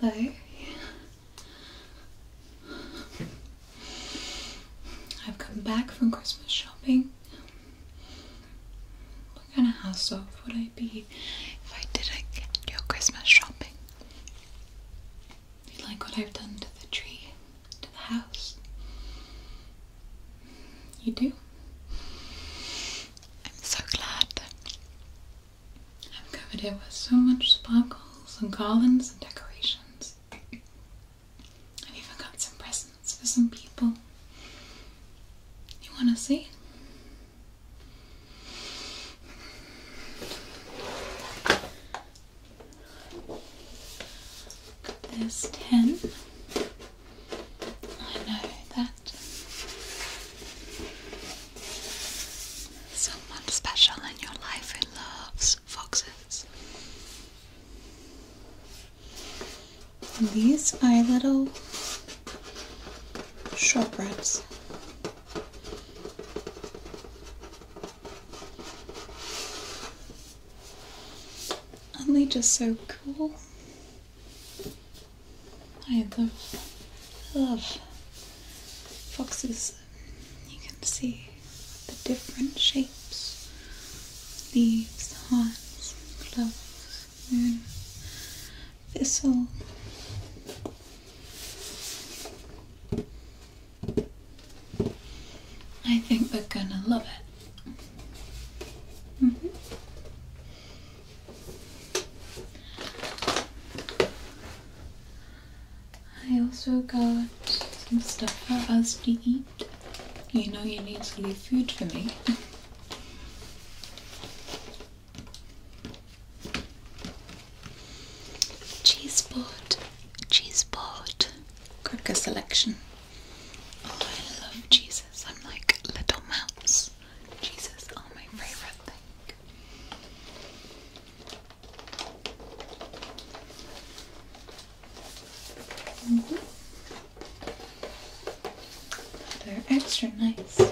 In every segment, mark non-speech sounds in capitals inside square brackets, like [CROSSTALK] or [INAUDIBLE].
But I've come back from Christmas shopping. What kind of house elf would I be? if I did your Christmas shopping. You like what I've done to the tree, to the house? You do? I'm so glad that I've covered it with so much sparkles and garlands and decorations. I've even got some presents for some people. You want to see? There's ten. I know that someone special in your life who loves foxes. And these are little shortbread. Aren't they just so cool? I love, love foxes. You can see the different shapes leaves, horns, clothes and thistle. I think we are gonna love it. -hmm. I also got some stuff for us to eat. You know you need to leave food for me. [LAUGHS] Cheese board, cheese board, cracker selection. Oh, I love cheeses. I'm like little mouse. Cheeses are my favorite thing. Mm-hmm. They're extra nice.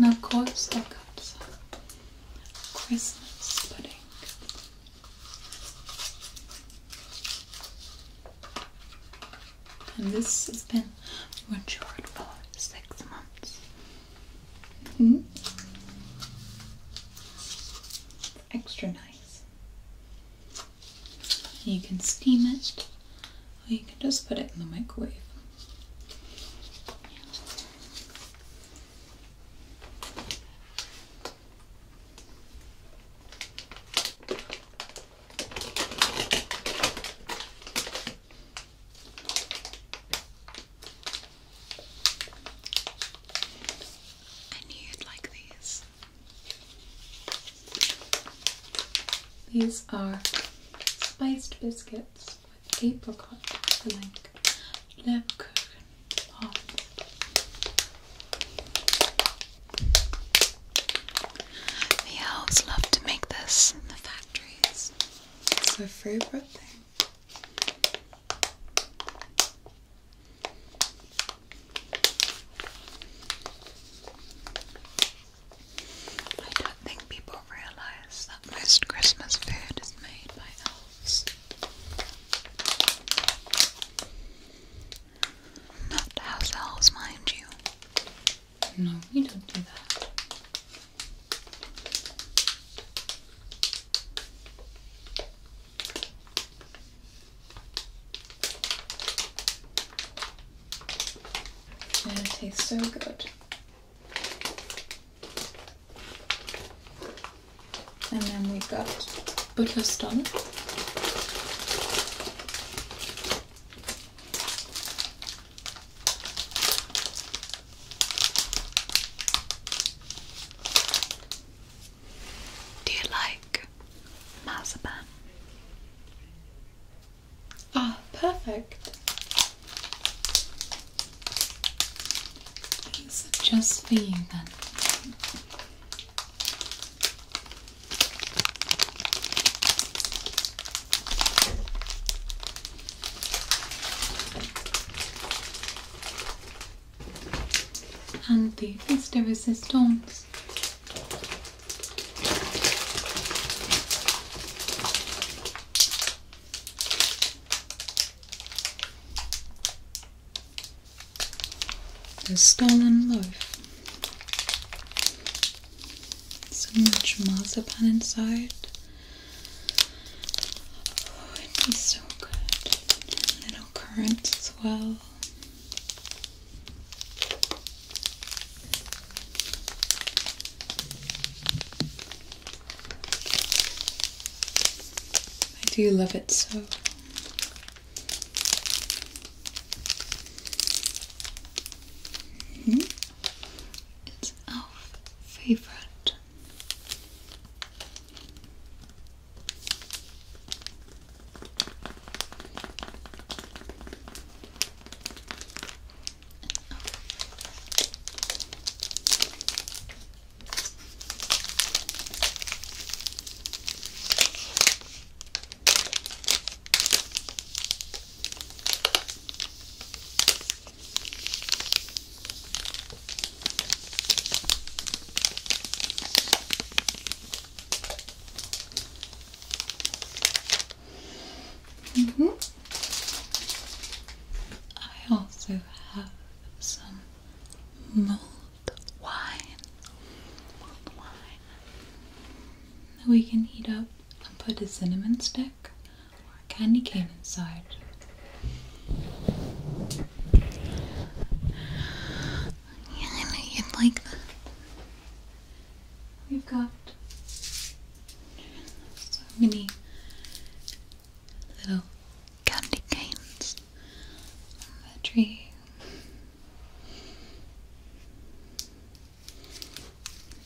And of course, look up some Christmas pudding and this has been on matured for six months. Mm -hmm. Extra nice. You can steam it, or you can just put it in the microwave. I knew you'd like these. These are spiced biscuits with apricot and like Lebkuchen. Oh. The elves love to make this the factories. It's a favorite thing. I don't think people realize that most Christmas food is made by elves. Not house elves, mind you. No, we don't do that. And tastes so good. And then we have got Butterston. Do you like marzipan? Ah, perfect. just for you then and the Mr. Resistance. The Stolen Loaf. So much marzipan inside. Oh, it so good. little currants as well. I do love it so. Mm -hmm. It's our favorite. Mm -hmm. I also have some more wine. wine. We can heat up and put a cinnamon stick or a candy cane inside. Yeah, I know you'd like that. We've got so many little candy canes on the tree.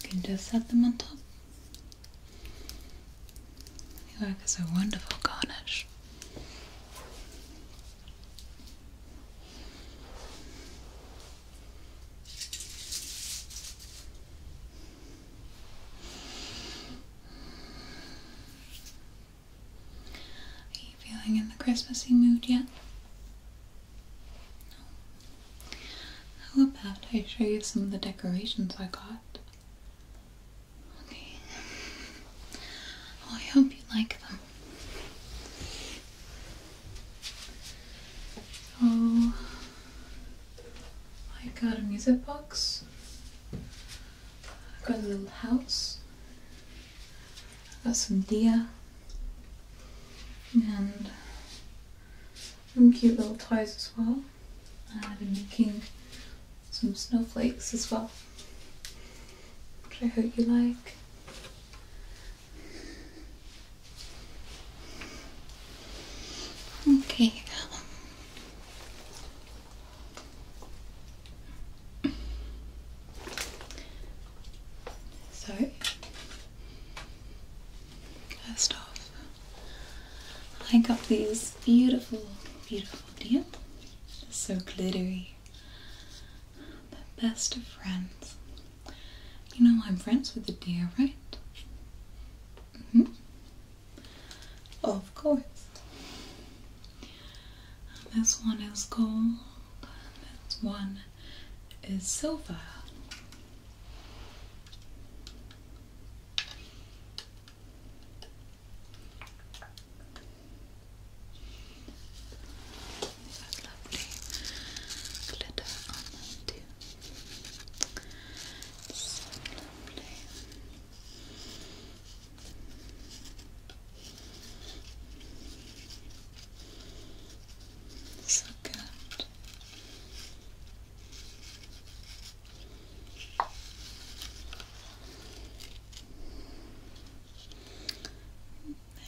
You can just set them on top. They work as a wonderful garnish. Are you feeling in the Christmassy mood yet? How about I show you some of the decorations I got? Okay. Oh, I hope you like them. So, oh, I got a music box. I've got a little house. got some deer. And some cute little toys as well. I've been making some snowflakes as well, which I hope you like. Okay, so, first off, I got these beautiful, beautiful deer. so glittery. The best of friends. You know I'm friends with the deer, right? Mm hmm Of course. This one is gold. This one is silver. they lovely glitter on them too. So lovely. So good.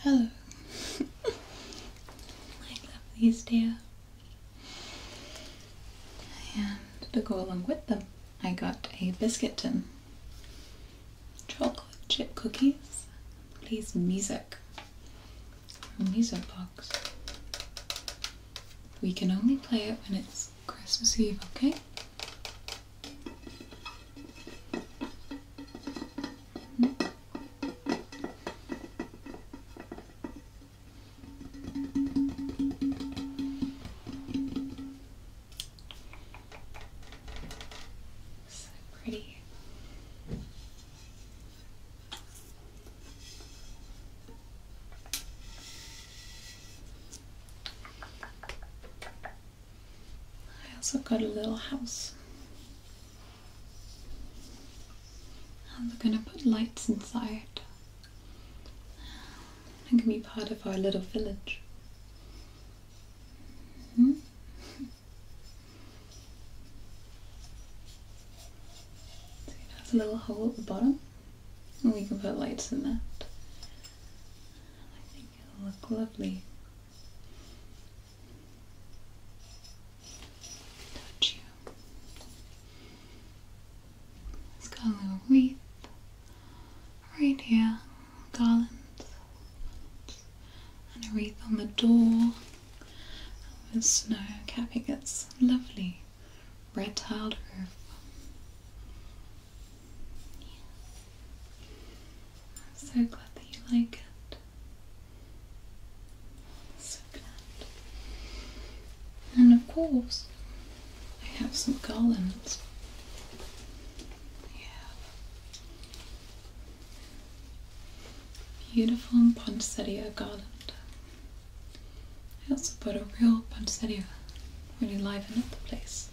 Hello, [LAUGHS] I love dear. And to go along with them, I got a biscuit tin chocolate chip cookies, Please music. music box. We can only play it when it's Christmas Eve, okay? So pretty. I also got a little house. I'm gonna put lights inside and can be part of our little village. Mm -hmm. a little hole at the bottom, and we can put lights in that. I think it'll look lovely. Touch you. It's got a little wreath right here, garlands, and a wreath on the door with snow capping its lovely red tiled roof. I'm so glad that you like it. So glad. And of course, I have some garlands. We beautiful poinsettia garland. I also bought a real poinsettia, when really liven up the place.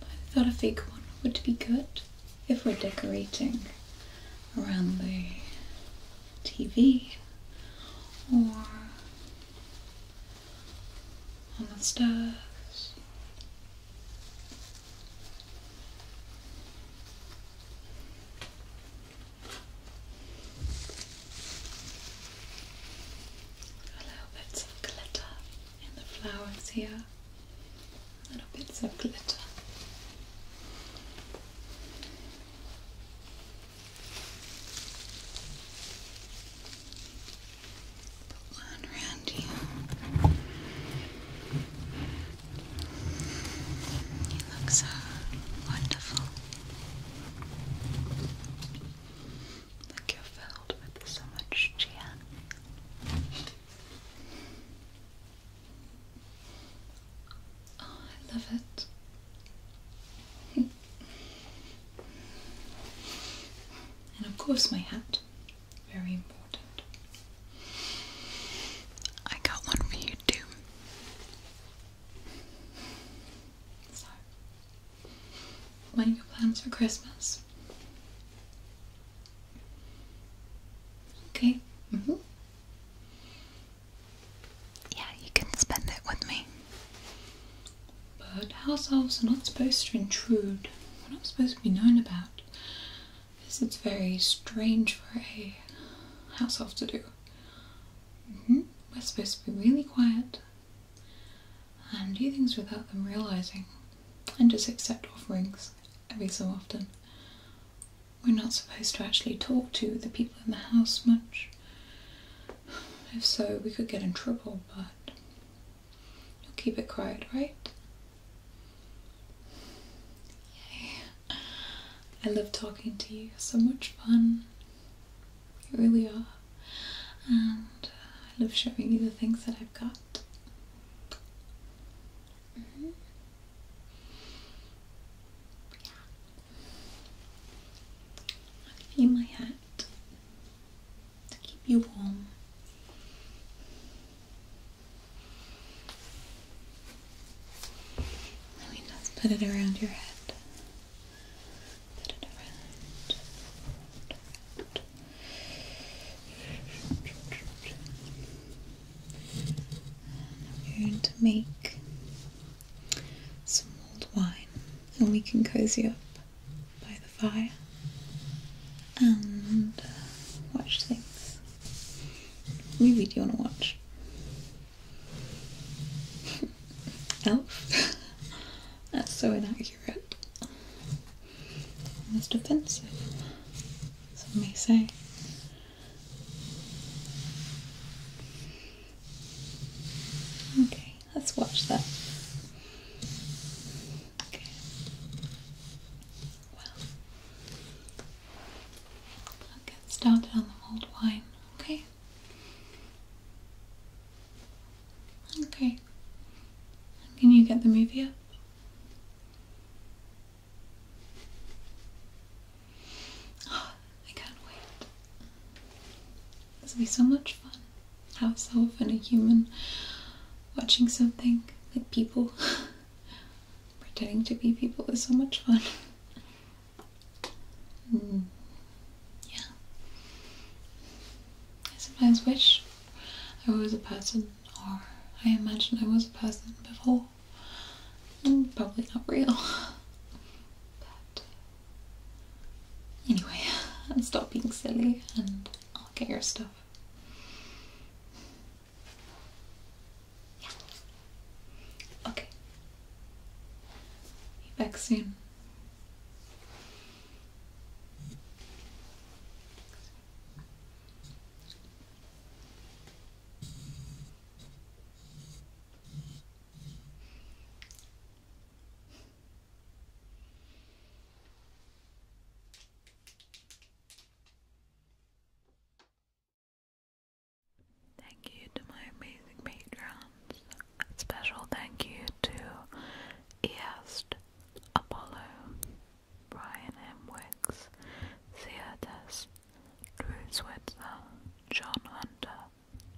I thought a fake one would be good if we're decorating around the TV or on the stairs. little bits of glitter in the flowers here. Little bits of glitter. Put one around you. Uh, you look so wonderful. Like you're filled with so much cheer. Oh, I love it. [LAUGHS] And of course, my hat. Very important. I got one for you too. what are your plans for Christmas? Okay. Mm-hmm. Yeah, you can spend it with me. But house elves are not supposed to intrude. We're not supposed to be known about. This is very strange for a house elf to do. Mm-hmm. We're supposed to be really quiet and do things without them realizing and just accept offerings every so often. We're not supposed to actually talk to the people in the house much. If so, we could get in trouble, but you'll keep it quiet, right? Yay. I love talking to you. So much fun. You really are. And uh, I love showing you the things that I've got. yeah. Mm-hmm. I'll give you my hat to keep you warm. Let me just put it around your head. Put it around. I'm going to make some mulled wine, and we can cozy up by the fire and uh, watch things. What movie do you want to watch? [LAUGHS] Elf? [LAUGHS] That's so inaccurate. Almost offensive, some may say. Okay, let's watch that. Okay. Well, I'll get started on the mulled wine, okay? Okay. Can you get the movie [GASPS] I can't wait. This will be so much fun. How is so often a human watching something like people [LAUGHS] pretending to be people is so much fun. [LAUGHS] Mm. Yeah. I sometimes wish I was a person, or I imagine I was a person before Mm, probably not real. But anyway, [LAUGHS] stop being silly and I'll get your stuff. Yeah. Okay. Be back soon. Thank you to my amazing patrons. special thank you to East, Apollo, Brian M. Wicks, Seatus, Drew Switzer, uh, John Hunter,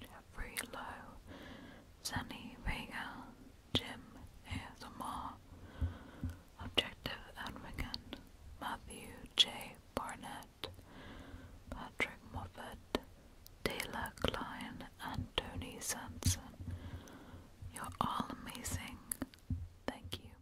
Jeffrey Lowe, Sunny Vega, Jim Azamar, Objective Advocate, Matthew J. Barnett, Patrick Moffat, Taylor Klein, and Tony Sanson. You're all amazing. Thank you.